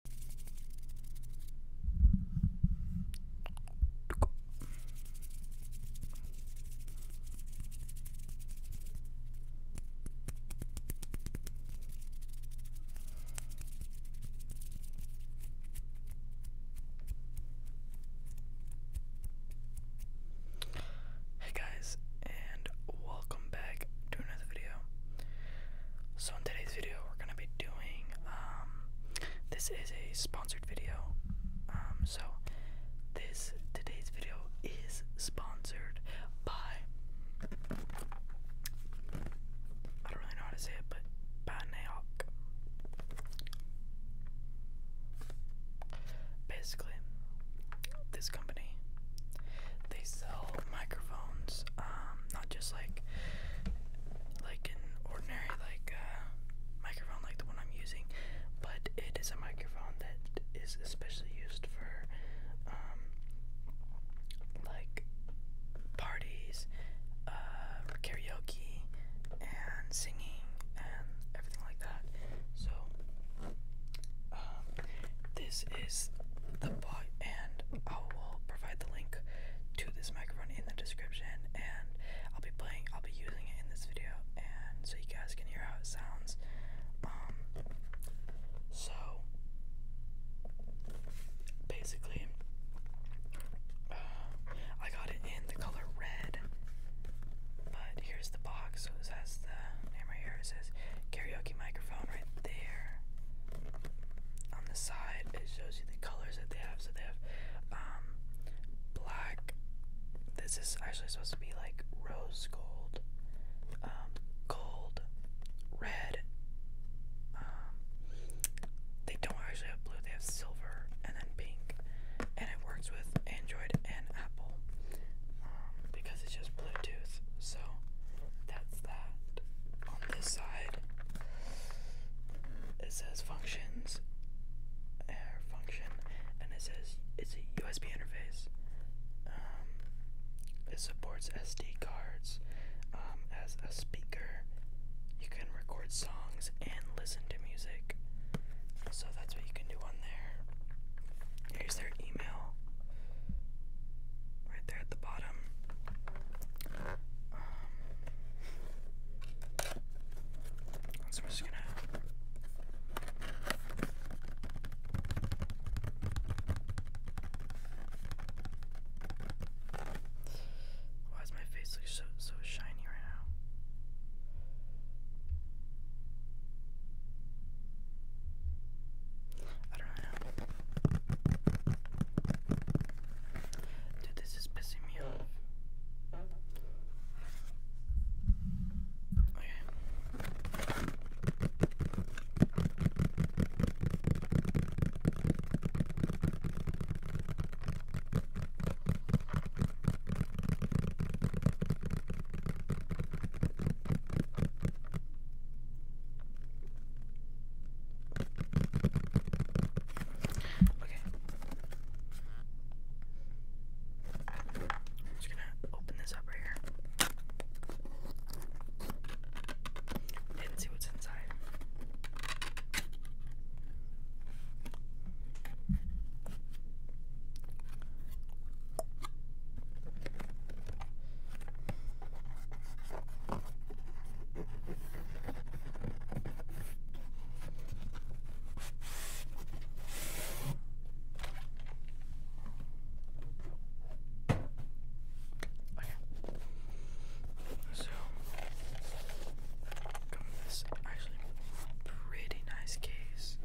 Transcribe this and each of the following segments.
Hey guys, and welcome back to another video. So in today's video, we're gonna be doing. Um, this is a sponsored video. Um, so this today's video is sponsored by. I don't really know how to say it, but by Naok. Basically, this company they sell microphones, um, not just like like an ordinary like uh, microphone like the one I'm using, but it is a microphone that is especially used for um, like parties, uh, karaoke and singing and everything like that. So um, this is the box and I will provide the link to this microphone in the description and I'll be playing I'll be using it in this video and so you guys can hear how it sounds. Um, so basically uh, I got it in the color red but here's the box so it has the name right here it says karaoke microphone there. On the side, it shows you the colors that they have. So they have um, black. This is actually supposed to be like rose gold, um, gold, red. Um, they don't actually have blue. They have silver and then pink, and it works with Android and Apple. Um, because it's just Bluetooth. So that's that. On this side, it says functions, or function, and it says it's a USB interface. Um, it supports SD cards um, as a speaker. You can record songs and listen to music. So that's what you can do on there. Here's their email. Right there at the bottom. Um, I'm just gonna. Why does my face look so so shiny right now? I don't know. Dude, this is pissing me off. Okay. Okay. just gonna open this up right here and see what's inside. Okay. So come this actually pretty nice case.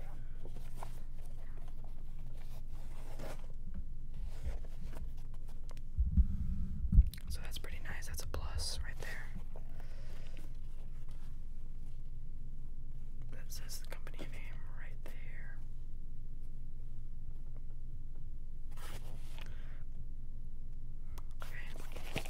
So that's pretty nice. That's a plus right there. That says the company name right there. Okay.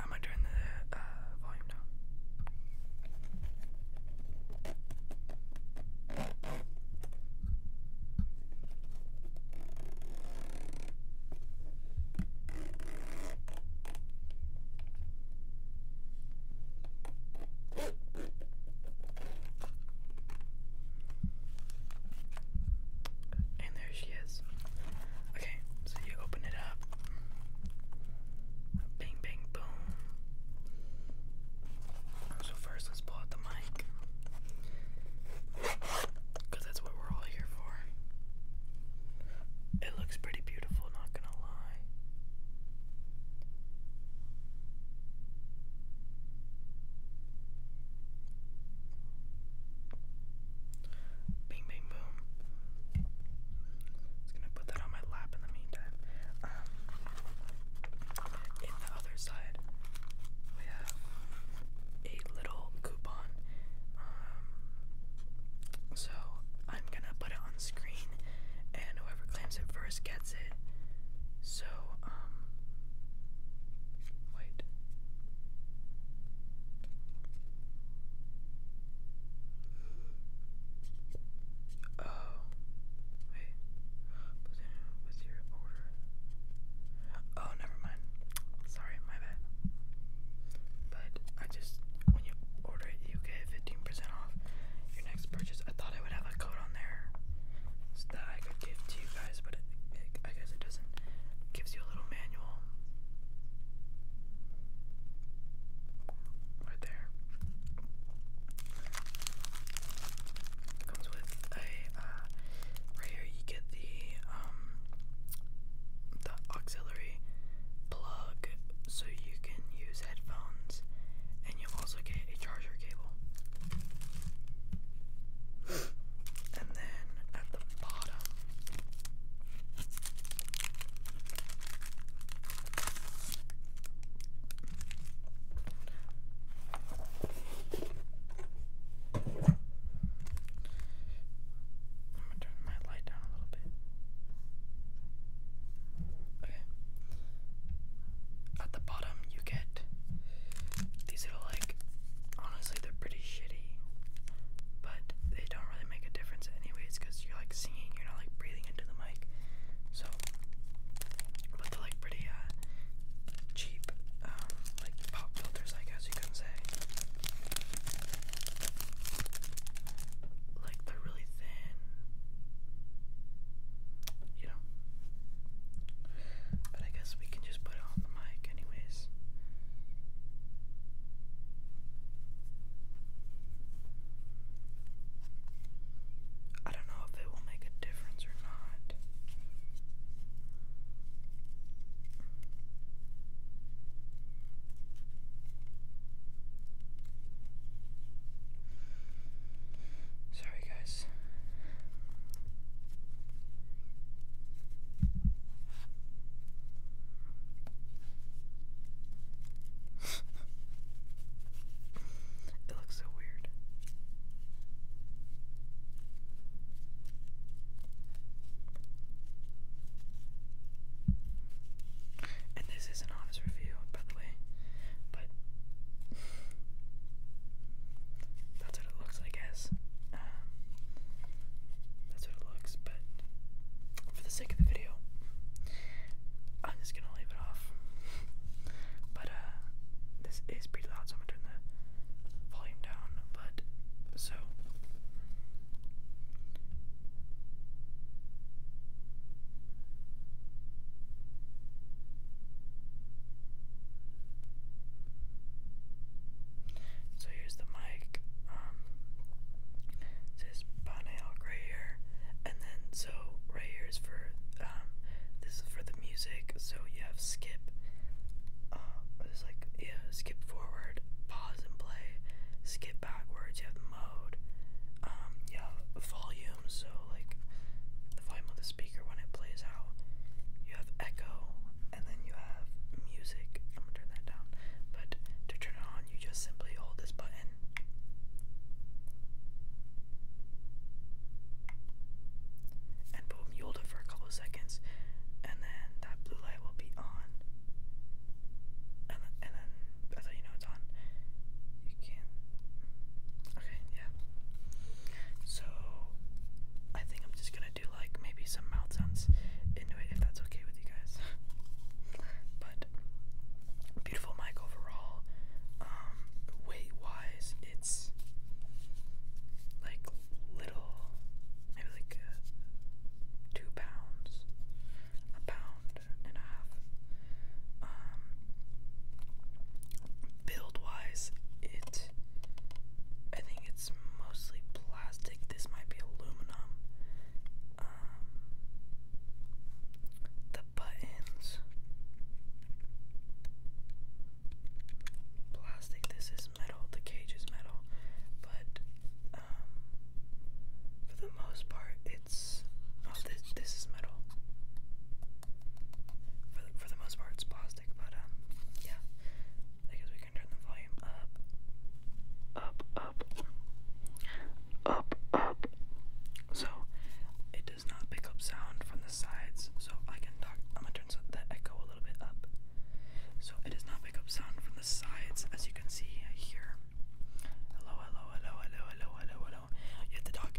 Am I doing the uh, volume now? And there she is. Okay, so you open it up. Bing, bing, boom. So, first, let's pull out the mic. Because that's what we're all here for. It looks pretty beautiful, not gonna lie. Bing, bing, boom. Just gonna put that on my lap in the meantime. Um, the other side, we have a little coupon. Um, so I'm gonna put it on screen and whoever claims it first gets it. So, um, wait. Oh, wait. What's your order? Oh, never mind. Sorry, my bad. But I just, when you order it, you get 15% off your next purchase. I thought I would have a code on there that I could give to you guys, but I guess it doesn't. gives you a little manual right there. comes with a uh, right here. You get the um, the auxiliary plug so you can use headphones, and you'll also get a charger cable. and then at the bottom, I'm gonna turn my light down a little bit. Okay. At the bottom, you get these little, like, honestly, they're pretty shitty, but they don't really make a difference, anyways, because you're like singing, you're not like breathing into the mic. So, but they're like pretty uh, cheap, um, like pop filters, I guess you can say. Like they're really thin, you know. But I guess we can just put it on the mic, anyways. I don't know if it will make a difference or not. Sorry, guys. it looks so weird. And this is an honest review, by the way. But that's what it looks, I guess. Um, that's what it looks, but for the sake of the video, I'm just gonna leave it off. But uh, this is pretty loud, so I'm gonna turn the volume down. But so so here's the mic. Um, it right here, and then so right here is for um, this is for the music. So you have skip. Uh, it's like yeah, skip forward, pause and play, skip backwards, you have mode, um, you have volume, so like the volume of the speaker when it plays out, you have echo, and then you have music. I'm gonna turn that down, but to turn it on, you just simply hold this button. And boom, you hold it for a couple seconds, and then that blue light will be on. And, then that's how you know it's on. You can. Okay, yeah. So I think I'm just gonna do like maybe some mouth sounds into it if that's okay with you guys. but beautiful mic overall. Um, weight wise, it's like little, maybe like uh, two pounds, a pound and a half. Um, build wise, it I think it's mostly plastic. This might be aluminum. Um, the buttons, plastic. This metal, the cage is metal, but um, for the most part, it's oh this is metal. For for the most part, it's plastic, but um, yeah. I guess we can turn the volume up, up, up, up, up. So it does not pick up sound from the sides, so I can talk. I'm gonna turn the echo little bit up. So it does not pick up sound from the sides, as you can see here. Hello, hello, hello, hello, hello, hello, hello. Yet the dog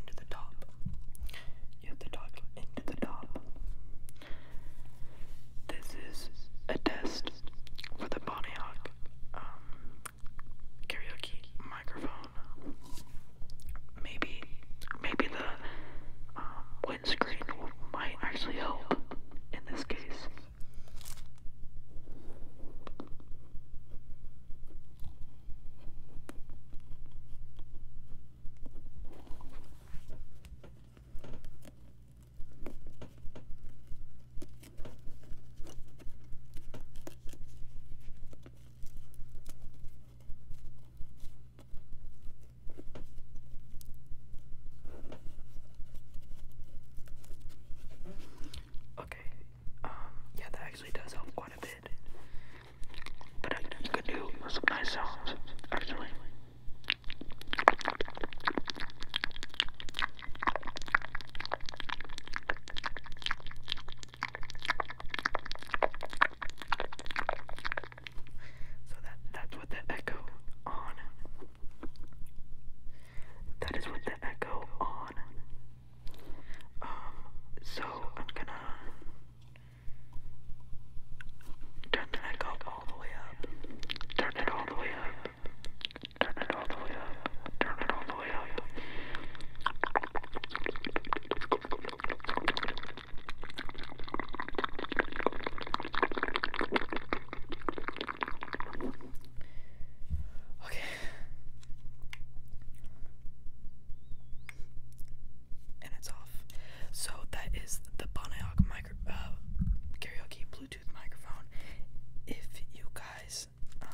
into the top. into the top. This is a test for the Bonnie Hawk um, karaoke microphone maybe, maybe the um, windscreen might actually help in this case. Okay, um, yeah, that actually does help quite a bit. But I could do some nice sounds, actually. So that that's what the echo on. That is what the echo on. Um, so I'm gonna turn the echo all the way up. Turn it all the way up. Turn it all the way up. Turn it all the way up. Okay. And it's off. So that is the Bonayok uh, karaoke Bluetooth microphone. If you guys um,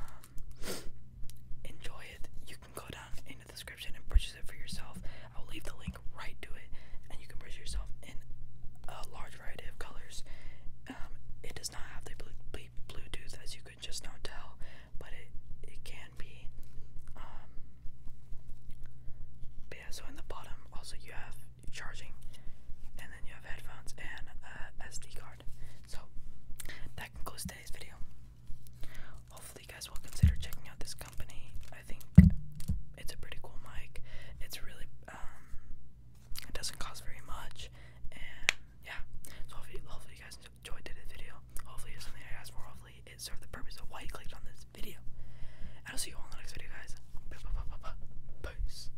enjoy it. You can go down in the description and purchase it for yourself. I will leave the link right to it, and you can purchase yourself in a large variety of colors. Um, it does not have the Bluetooth, as you could just now tell, but it it can be. Um, yeah, so in the bottom also you have charging, and then you have headphones and SD card. So that concludes today's video. Hopefully, you guys will consider checking out this company. I think it's a pretty cool mic. It's really um, it doesn't cost very much, and yeah. So hopefully, hopefully you guys enjoyed today's video. Hopefully, it's something I asked for. Hopefully, it served the purpose of why you clicked on this video. I'll see you all in the next video, guys. Peace.